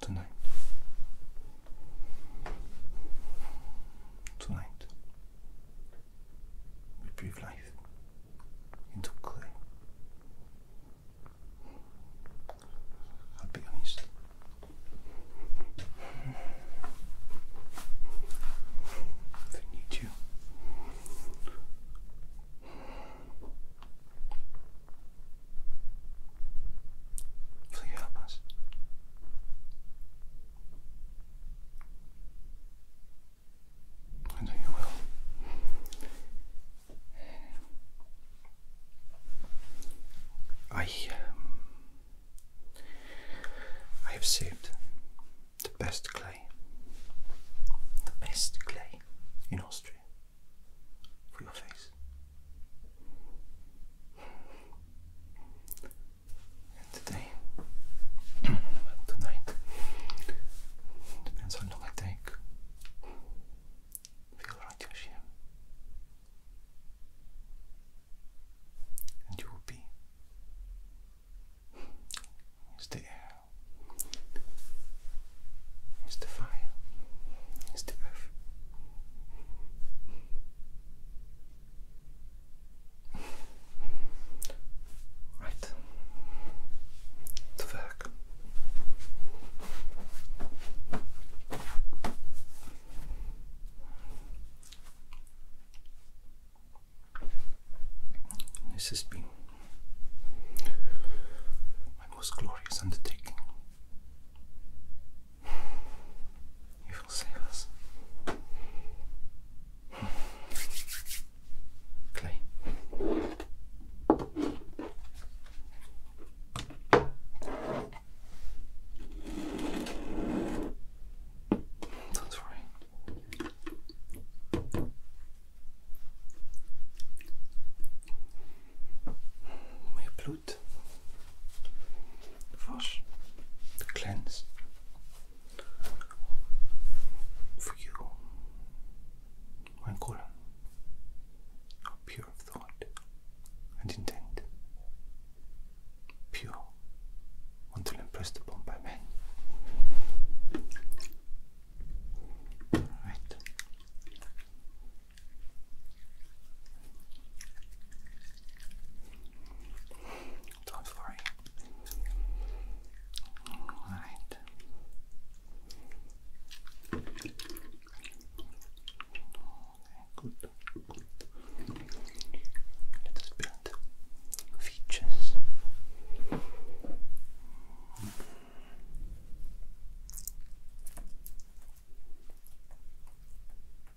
tonight. Tonight, we breathe life into clay. I'll be honest. If need you, Will you help us? I know you will. I, um, I have saved the best clay, the best clay in Austria for your face. And today, tonight, depends how long I take. Feel right, Yoshi. And you will be. It's the air. It's the fire. It's the earth. Right. To work. This has been my most glorious undertaking. You will save us. Clay. Don't worry. We root, cleanse for you one column of thought and intent, pure until impressed upon by men. All right. Don't worry. All right. good. Let us build features.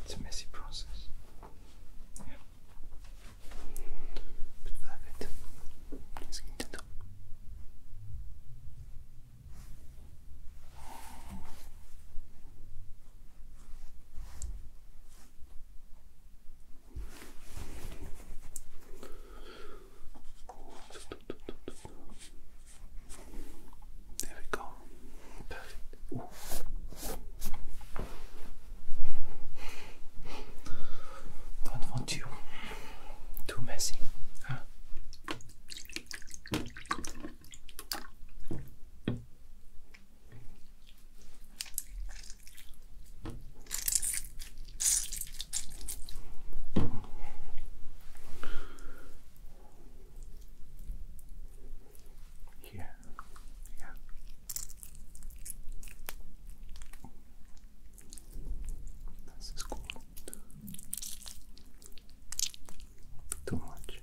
It's a messy process. Yeah. But perfect. Let's get it up. There we go. Perfect. Don't want you too messy. Yeah, yeah. This is cool. Too much.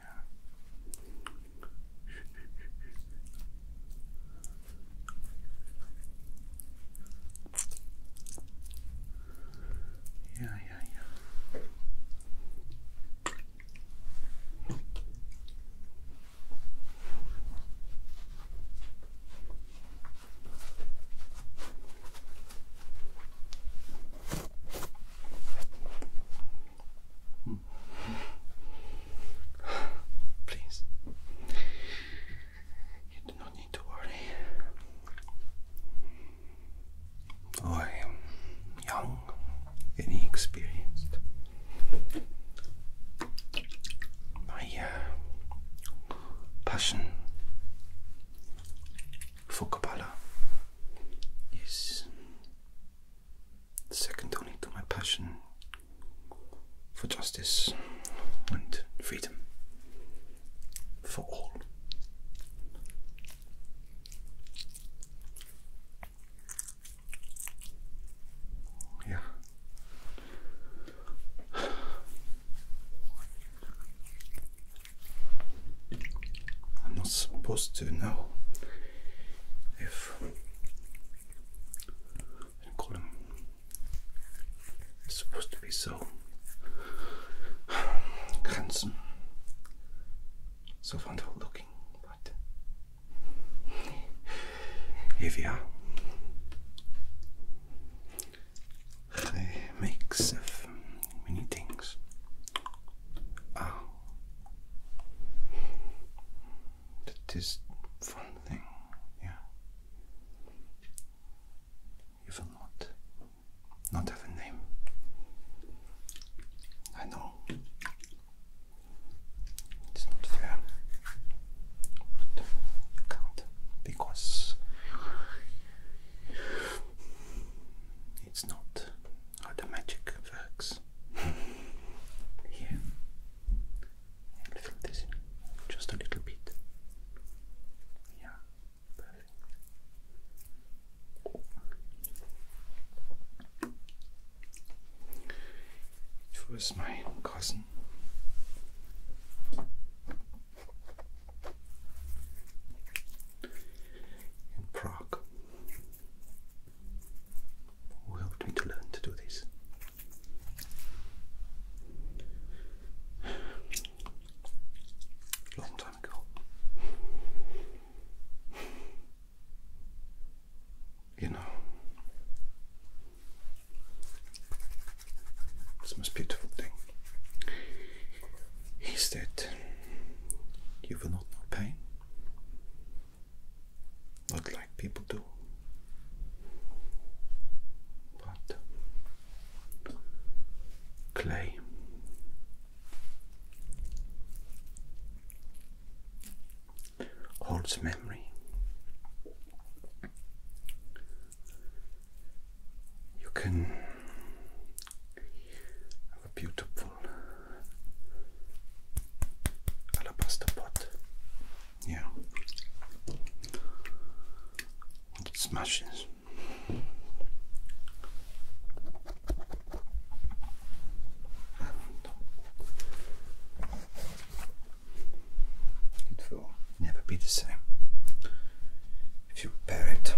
here. Yeah, yeah, yeah. Mm Please. You do not need to worry. I am young and inexperienced. My uh, passion for Kabbalah is second only to my passion for justice and freedom for all. Yeah. I'm not supposed to know if it's supposed to be so handsome, so wonderful looking, but here we are. A mix of many things. That is fun thing, yeah. You not not have a name. I know. It's not fair. But can't because it's not how the magic works. Here, a just a little bit. Yeah, perfect. It was my cousin. In Prague, we all need to learn to do this. Long time ago. You know, it's the most beautiful thing is that you will not know pain not like people do. But clay holds memory. You can have a beautiful alabaster pot. Yeah. It smashes. And it never be the same. If you repair it,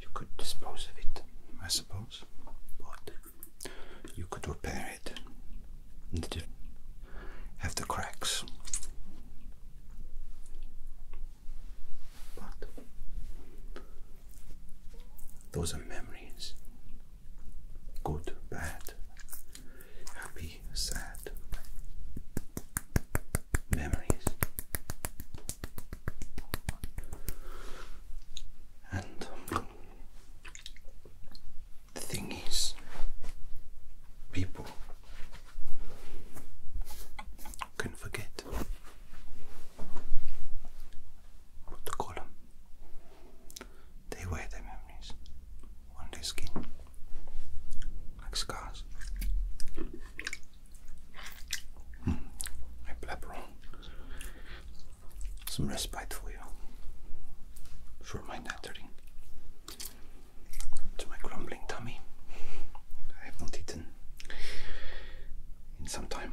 you could dispose of it, I suppose, but you could repair it married have the cracks. But those are memories good, bad, happy, sad memories. And the thing is, people can forget what to call them. They wear their memories on their skin like scars. Hmm, I blabber on some respite for you, for my nattering, to my grumbling tummy. I have not eaten in some time.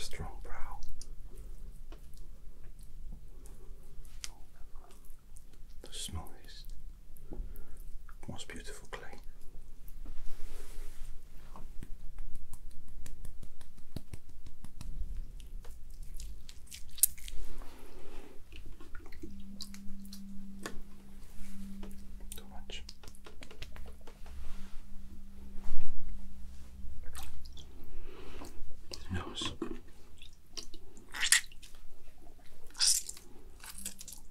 Strong brow. The smallest, most beautiful beautiful clay. Too much. Nose.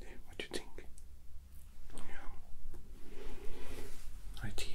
Yeah, what do you think? Yeah. Right here.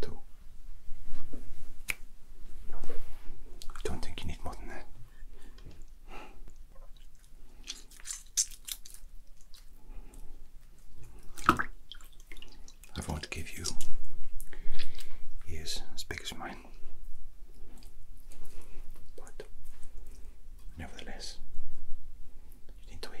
Two. I don't think you need more than that. I want to give you ears as big as mine, but nevertheless, you need to hear.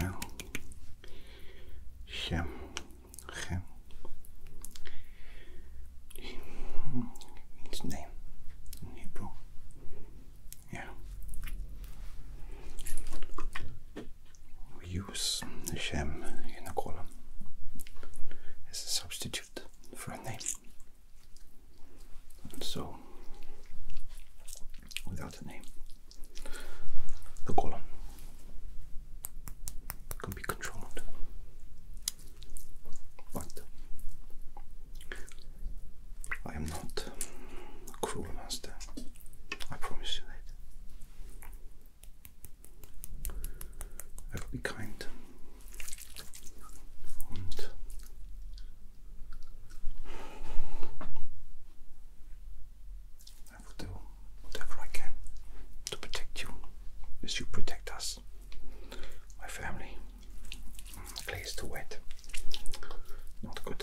Well, Shem, Shem. It's name in Yeah we use Shem in a column as a substitute for a name. so, without a name, the column can be controlled. But I am not cruel master. I promise you that. I'll be kind und I will do whatever I can to protect you as you protect us, my family. Clay to wait. Not good.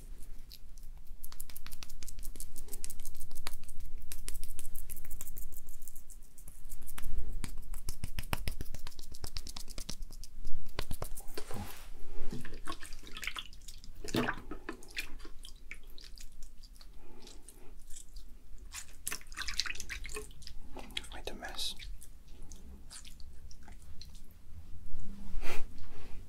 Wonderful. Quite a mess.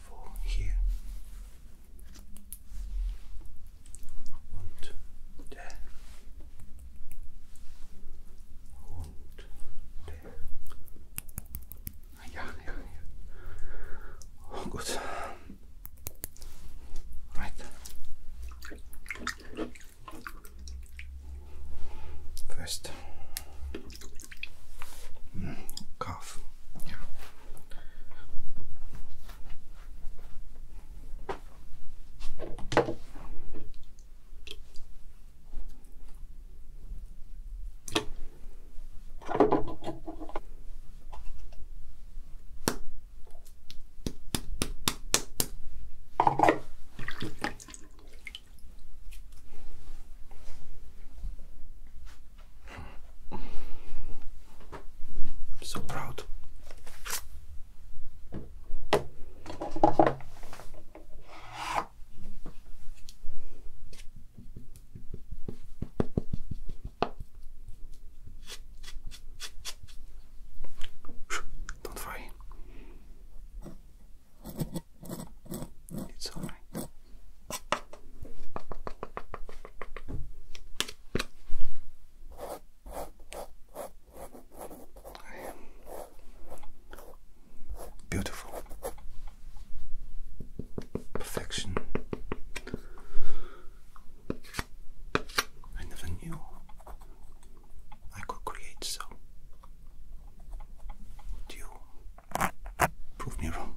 for here. Und there. Und there. Ah, ja, ja, Oh, gut. Right. First, mm, I'm so proud. Don't vai. It's all right. I am beautiful. Perfection. I never knew I could create so. Do you prove me wrong?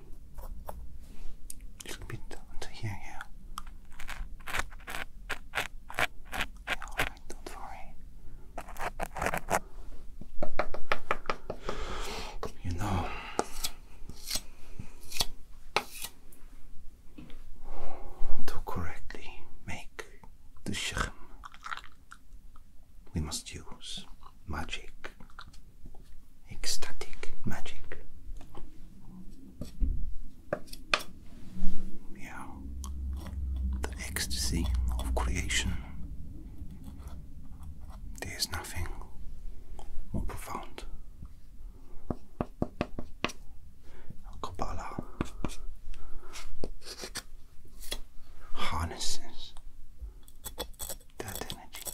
to be down to here, yeah. Yeah, alright, don't worry. You know, to correctly make the shechem, we must use magic ecstatic magic. Yeah, the ecstasy of creation. There is nothing more profound. Kabbalah harnesses that energy.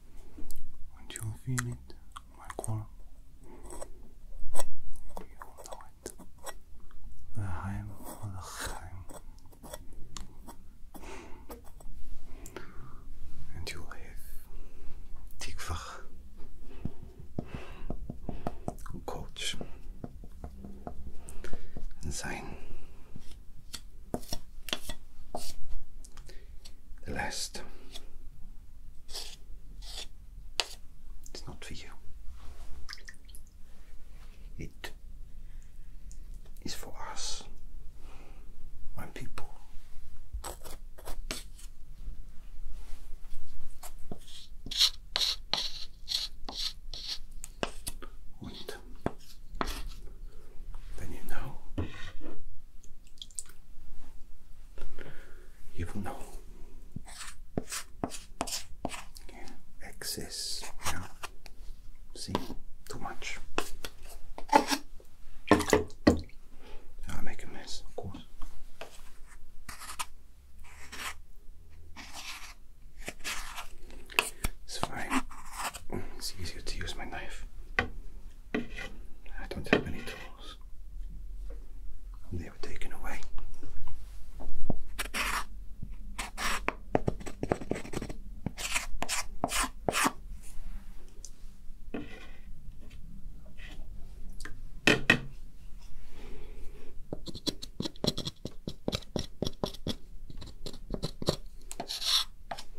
Once you feel it, my you know it. The Heim or the Heim. And you have Tikvah, Coach, sein. The last. It's not for you. It is for us, my people. And then you know you know, excess, see, too much. I make a mess, of course. It's fine. It's easier to use my knife. I don't have any tools. They were taken away.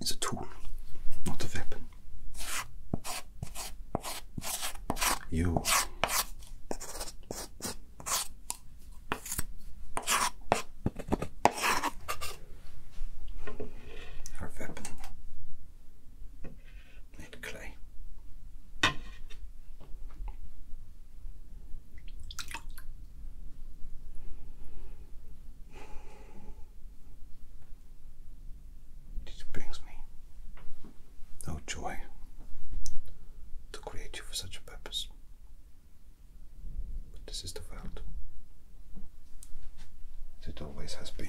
It's a tool, not a weapon. You our weapon made clay. It brings me no joy to create you for such a purpose. But this is the world. it always has been.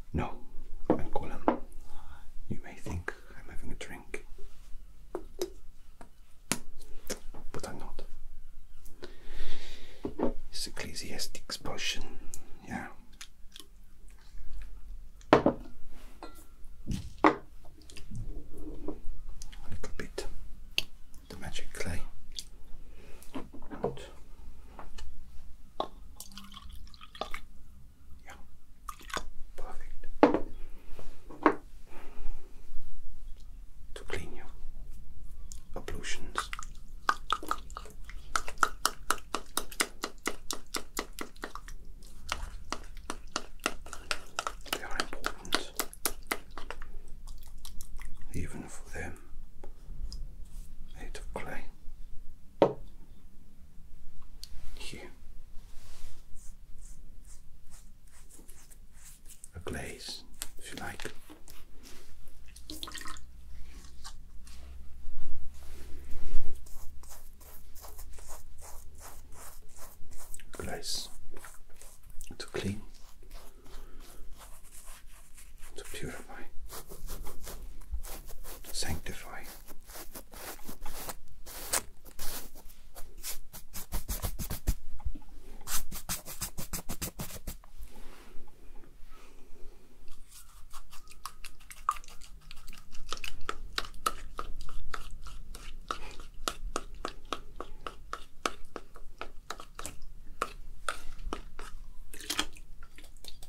No, I'm Colin. You may think I'm having a drink, but I'm not. It's Ecclesiastic's potion, yeah. A little bit the magic clay. And yeah. Perfect. To clean your occlusions. They are important even for them made of clay. Hier, A glaze, if you like. Glaze to clean to purify, sanctify.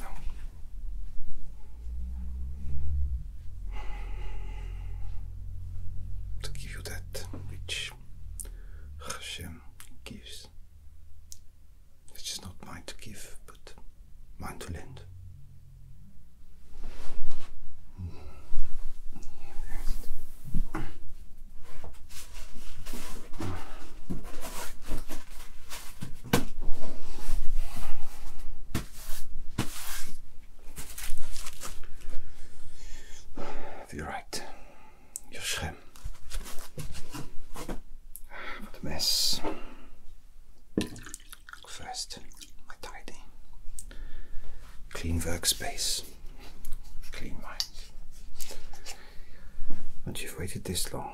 No. give you that which Hashem gives, which is not mine to give, but mine to lend. You're right. Your shem. What a mess. First, tidy. Clean workspace. Clean mind. But you've waited this long,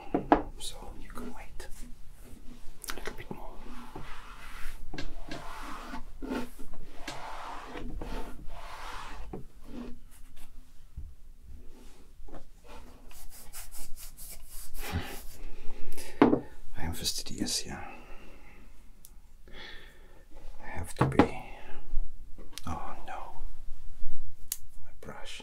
so you can wait a little bit more. I am fastidious yeah. I have to be. Oh no, my brush.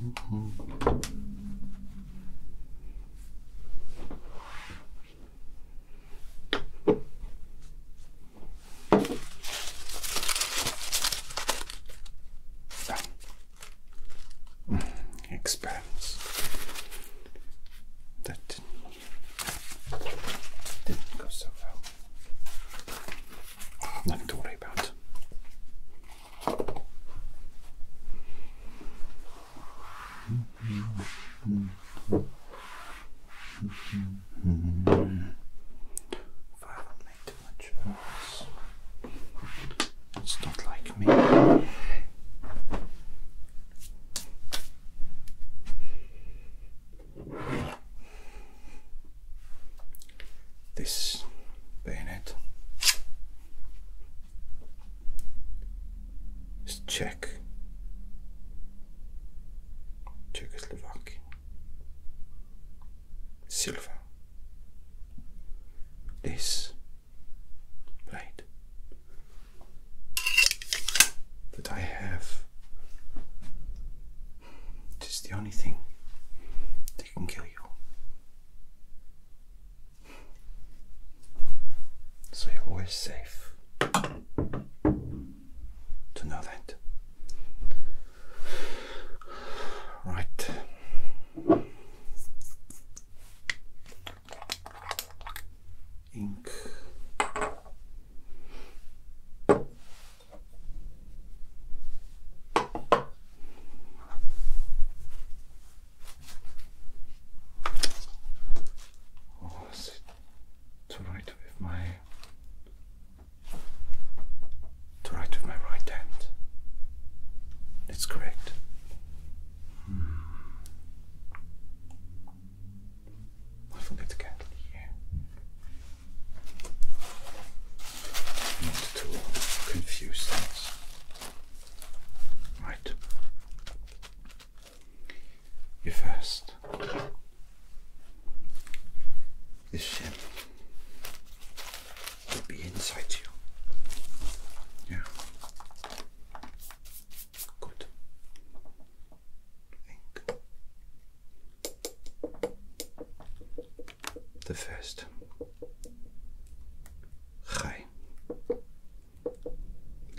Mm that didn't go so well. Nothing to worry about. Violently too much noise. It's not like me this bayonet. It's Czech, Czechoslovakian, silver. This blade that I have. is the only thing that can kill you. So you're always safe to know that. Right. Ink. Or is to write with my to write with my right hand? It's correct. Hmm. I forget the candle here. Not to confuse things. Right. You first. This shim will be inside you. Yeah. Good. I the first. Chai,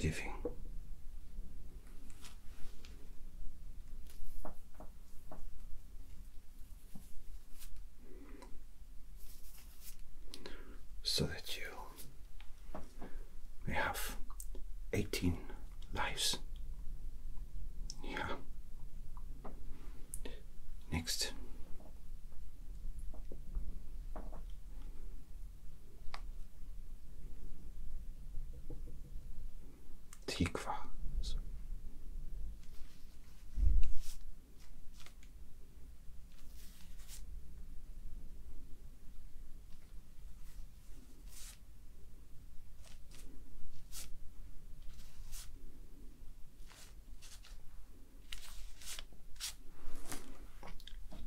living. So that you may have eighteen lives. Yeah. Next. Tikva.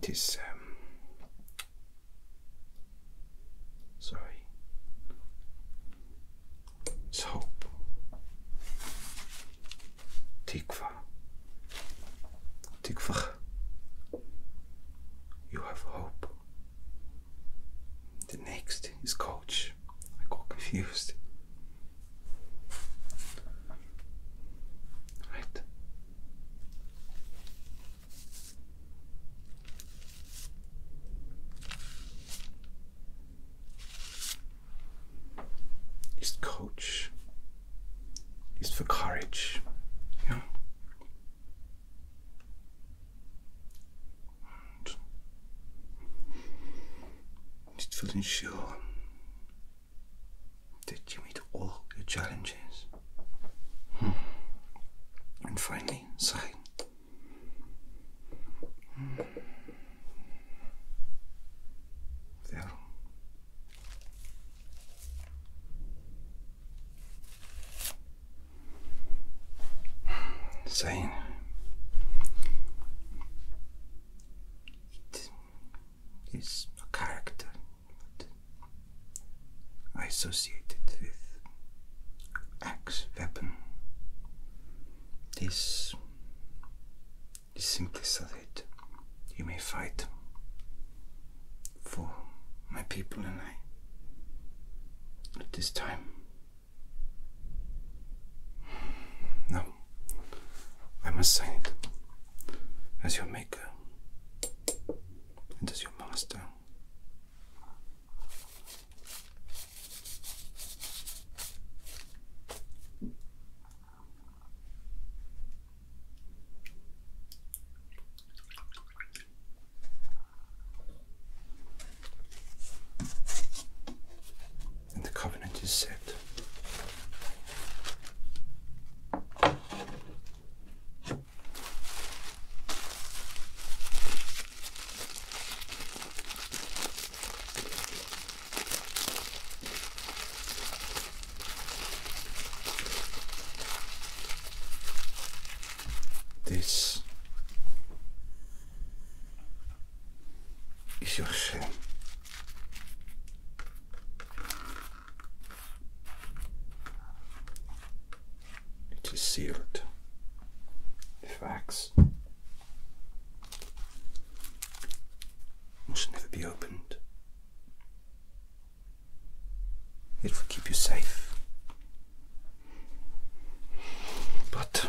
It is, um, sorry, soap, tikva, tikva. You have hope. The next is coach. I got confused. Right. Is coach is for courage, yeah. And it will did you meet all the challenges? Hmm. And finally, sigh. Hmm. There. It is a character I associate it with axe weapon. This is simply so that you may fight for my people and I at this time. No. I must sign it as your maker and as your master and the covenant is set. This is your sin. It is sealed. Facts must never be opened. It will keep you safe. But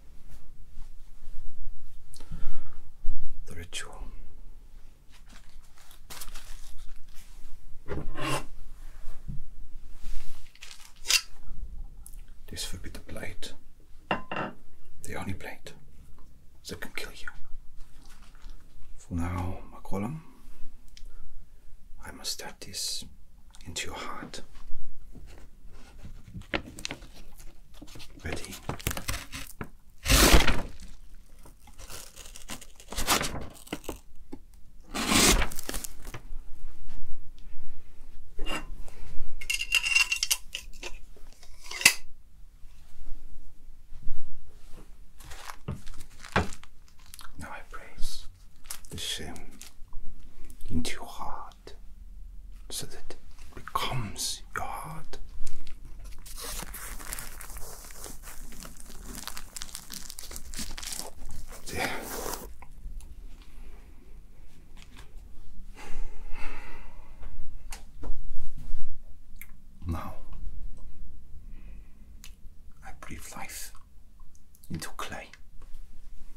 the ritual. This will be the blade, the only blade that can kill you. For now, Makolam, I must stab this into your heart. Ready? Now I press the shim into your heart so that it becomes your heart. Now I breathe life into clay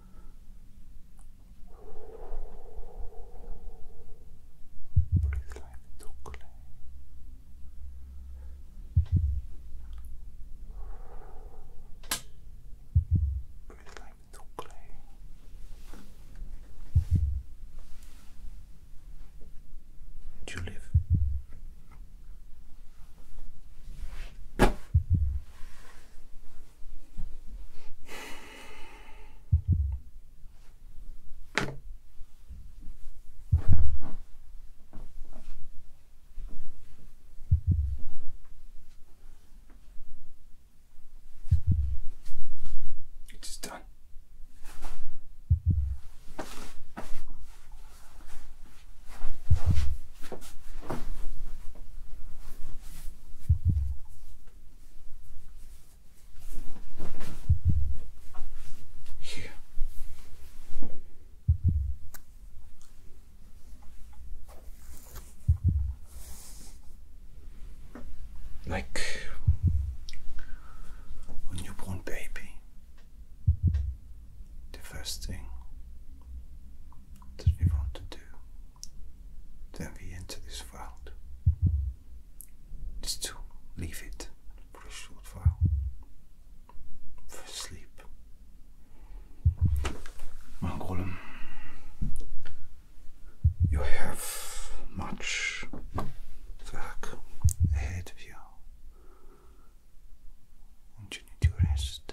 Breathe lightly till clear. Breathe lightly till clear. And you live. It is done. Here. Like a newborn baby, the first thing that we want to do, then we enter this world. Just to leave it for a short while, for sleep. Mangolem, you have much work ahead of you, and you need to rest.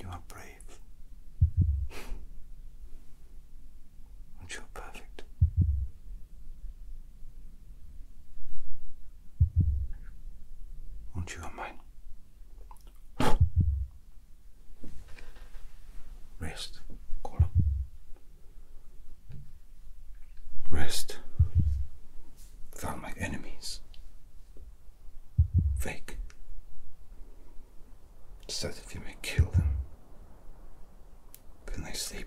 You are brave. and you perfect. Aren't you mine? Rest, Colin. Rest found my enemies. Fake. So that you may kill them when they sleep.